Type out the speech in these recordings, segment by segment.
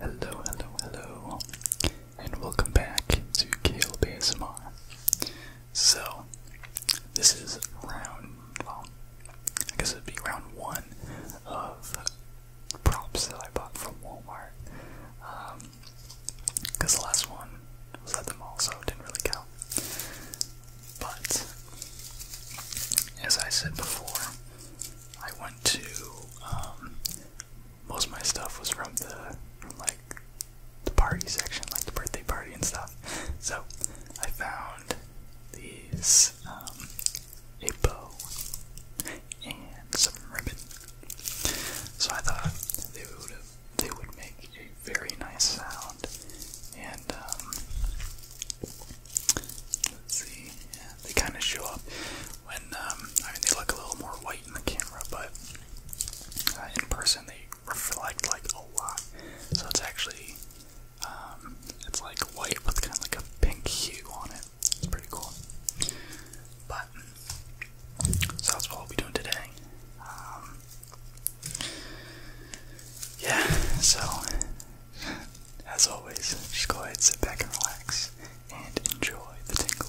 Hello, hello, hello, and welcome back to Kale ASMR. So, this is round, well, I guess it would be round one of props that I bought from Walmart. Because um, the last one was at the mall, so it didn't really count. But, as I said before, I went to um, most of my stuff was from the like the party section, like the birthday party and stuff. So I found these um, a bow and some ribbon. So I thought they would they would make a very nice sound, um, let's see, they kind of show up when um, I mean they look a little more white in the camera, but uh, in person they reflect like a lot, so it's actually um, it's like white with kind of like a pink hue on it. It's pretty cool, but so that's what we'll be doing today. yeah, so as always, just go ahead, sit back and relax and enjoy the tingles.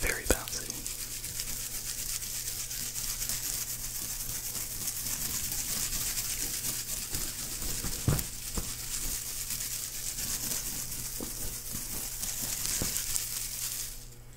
Very bouncy.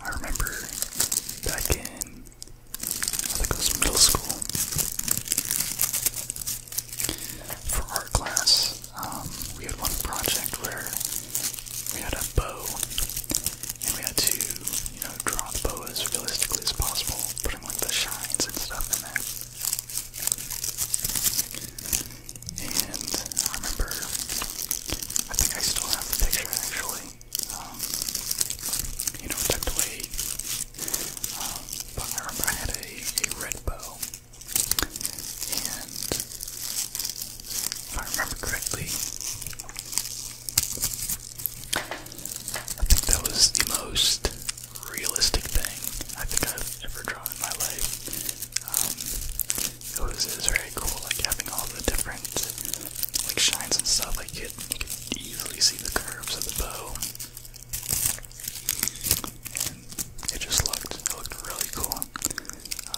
I remember back in I think it was middle school for art class, um, we had one project where we had a bow, and we had to, you know, draw the bow as realistically as possible, putting like the shines and stuff in there. And I remember, I think I still have the picture actually. Um, you know, tucked away but I remember I had a, a red bow, and if I remember correctly, I think that was the most realistic thing I think I've ever drawn in my life. Um, um it, was, very cool, like having all the different like shines and stuff. Like you could, could easily see the curves of the bow it just looked looked really cool.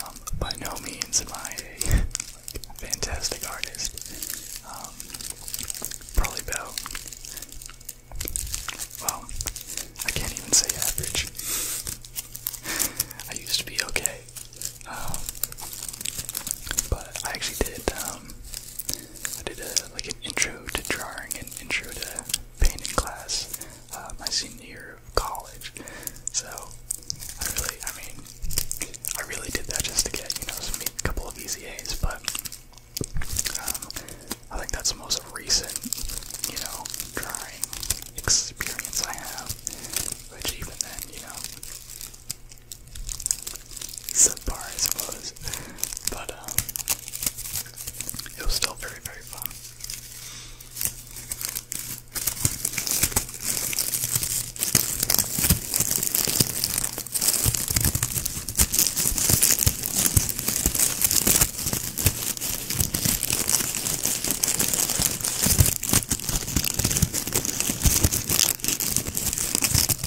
Um, by no means am I a fantastic artist. Um, probably about well, I can't even say average. I used to be okay, um, but I actually did um, I did a, like an intro to drawing and intro to painting class uh, my senior year of college. So I really, I mean, I really did that just to get you know some, a couple of easy A's. But um, I think that's the most recent you know drawing experience I have, which even then you know subpar I suppose. But um, it was still very, very fun.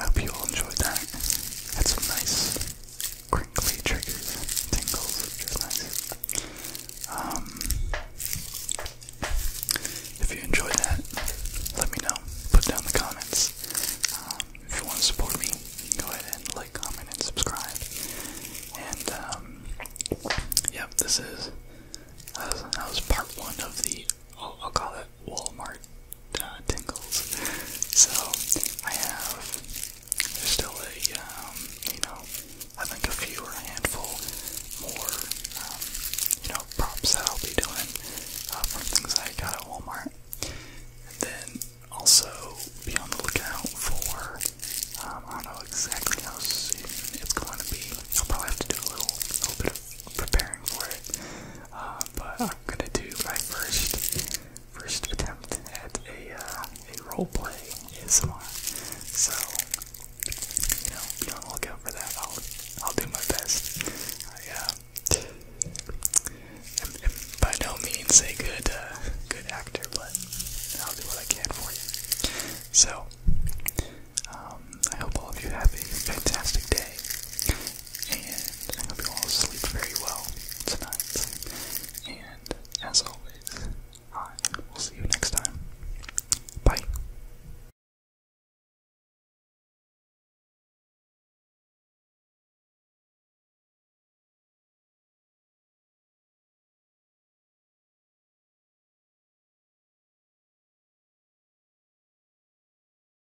I hope you all enjoyed that. Had some nice crinkly triggers, tingles, which is um, if you enjoyed that, let me know. Put down the comments. Um, if you want to support me, go ahead and like, comment, and subscribe. And um, yep, this is that was, part one of the. i I'll call it Walmart uh, tingles. So I have there's still a um, you know I think a few or a handful more um, you know props that I'll be doing uh, from things I got at Walmart. And then also be on the lookout for um, I don't know exactly how soon it's going to be. I'll probably have to do a little, little bit of preparing for it. Uh, but I'm gonna do my first first attempt at a uh, a role play ASMR. So you know, be on look out for that. I'll I'll do my best. I uh, am, by no means a good good actor, but I'll do what I can for you. So um, I hope all of you have a fantastic day and I hope you all sleep very well tonight. And as always, I will see you next time. Bye.